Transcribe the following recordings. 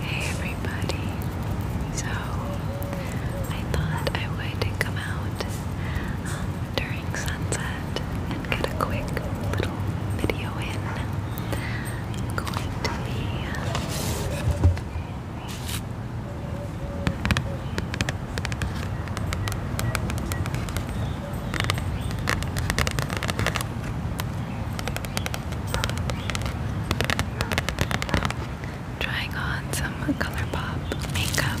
Hey everybody! So, I thought I would come out um, during sunset and get a quick little video in. i going to be Trying on some color pop makeup.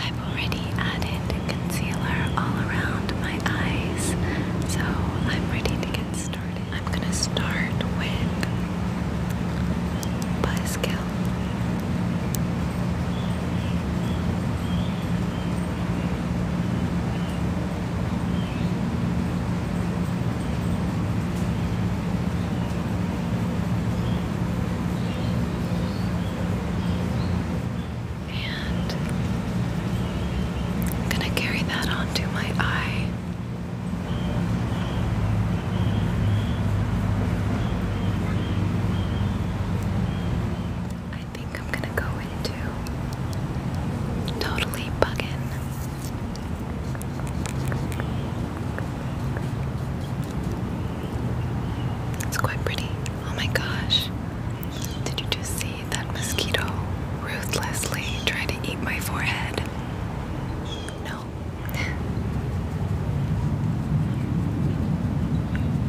I've already added concealer all around my eyes, so I'm ready to get started. I'm gonna start with Buzzkill. And I'm going to carry that onto my eye. I think I'm gonna go into totally buggin. It's quite pretty. Oh my gosh. Did you just see that mosquito ruthlessly try to eat my forehead? No.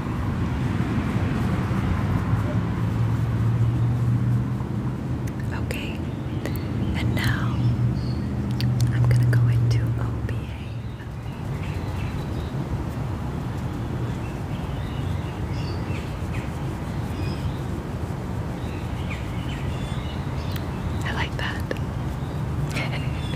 Okay, and now I'm gonna go into OBA. I like that.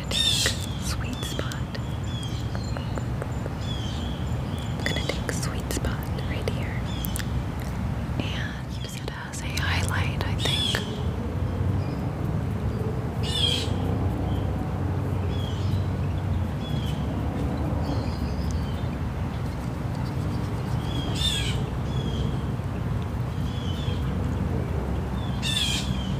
gonna take sweet spot. I'm gonna take sweet spot right here and it as a highlight, I think.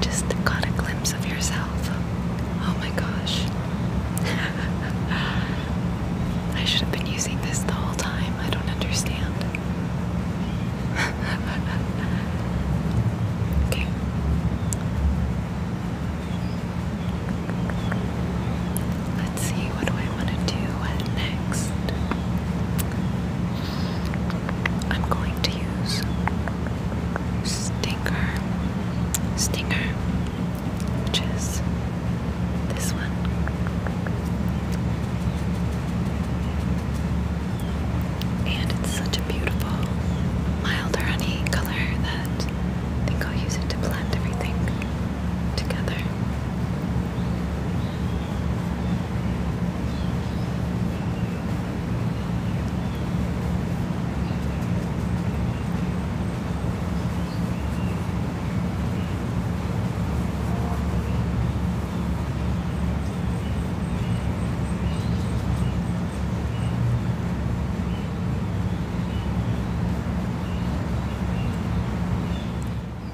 Just got a glimpse of yourself. Oh my gosh. I should have been using this the whole time. I don't understand okay. Let's see, what do I want to do next? I'm going to use Stinger. Stinger. Which is this one. And it's such a beautiful, mild honey color that I think I'll use it to blend everything together.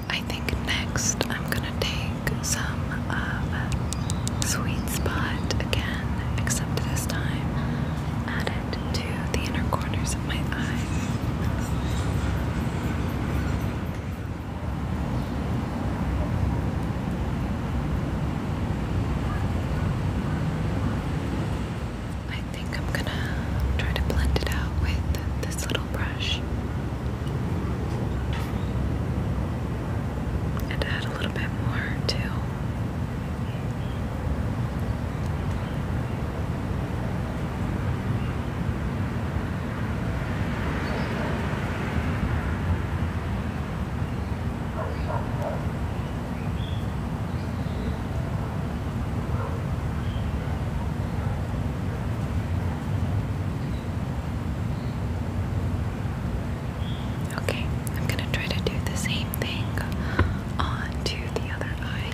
I think next I'm gonna take some of uh, Sweet Spot again, except this time add to the inner corners of my eyes. I think I'm gonna try to blend it out with this little brush and add a little bit more too. Okay, I'm going to try to do the same thing on to the other eye.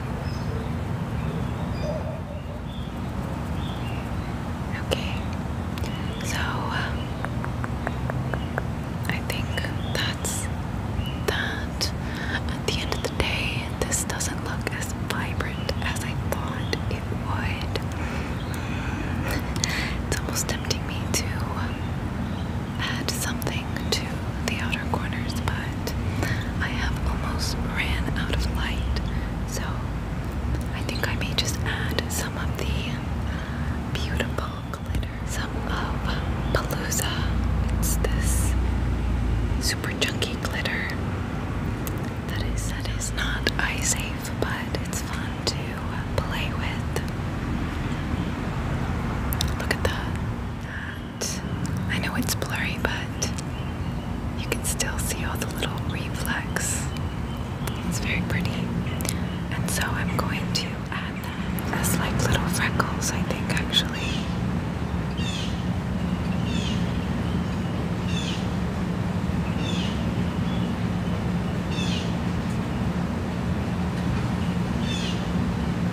Okay, so I think that's that. At the end of the day, this doesn't look as vibrant as I thought it would. it's almost tempting me to um, add something to the outer corners, but I have almost ran out of light, so I think I may just add some of the beautiful glitter, some of Palooza. It's this super chunky glitter that is that is not eye safe, but it's fun to play with. Look at that. I know it's blurry, but you can still see all the little reflex. It's very pretty. And so I'm going to add that as like little freckles, I think, actually.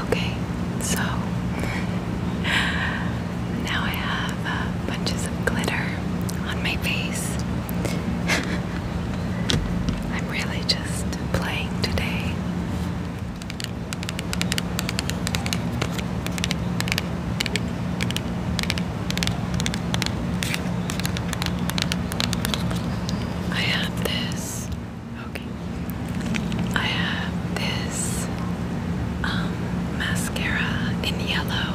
Okay, so now I have uh, bunches of glitter on my face. I'm really just playing today. I have this. Okay. I have this um, mascara in yellow.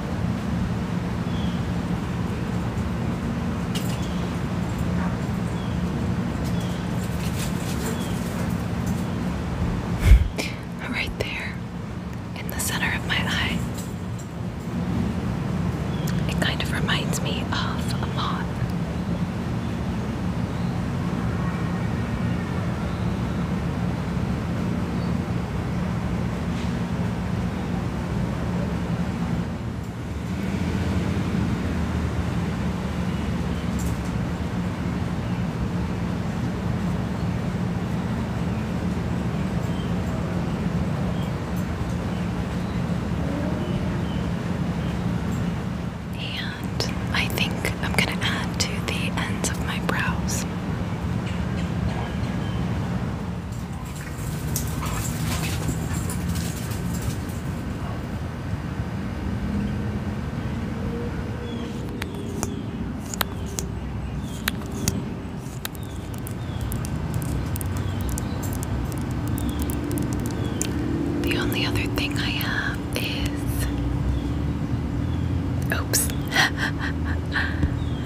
right there in the center of my eye. It kind of reminds me of a moth. And I think I'm going to add to the ends of my brows. The only other thing I have is oops.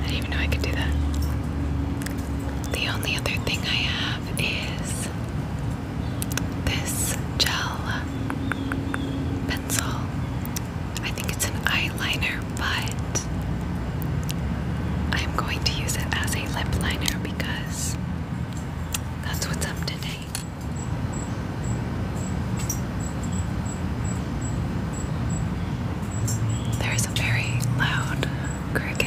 I didn't even know I could do that. The only other thing I have is this gel pencil. I think it's an eyeliner, but I'm going to use it as a lip liner because that's what's up today. There's a very loud cricket.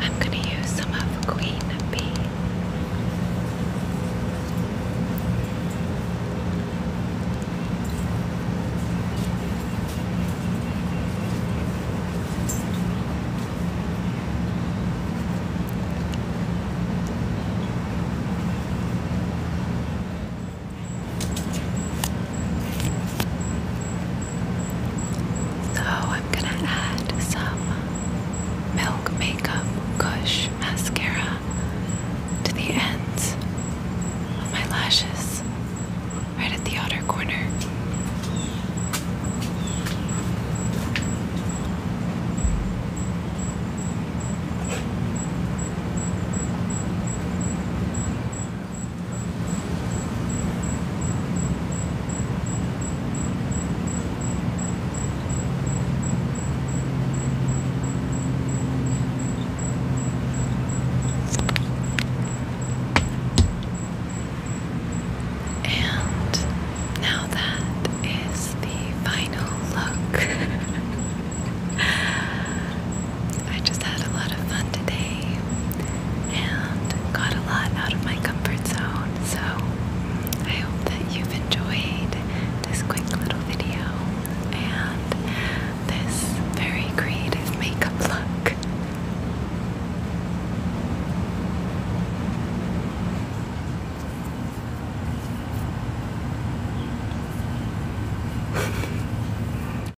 I'm going to use some of Queen Bee. So I'm gonna add some Milk Makeup Gush Mascara to the ends of my lashes, right at the outer corner. And now that is the final look. I just had a lot of fun today and got a lot out of my comfort zone. So I hope that you've enjoyed this quick little video and this very creative makeup look.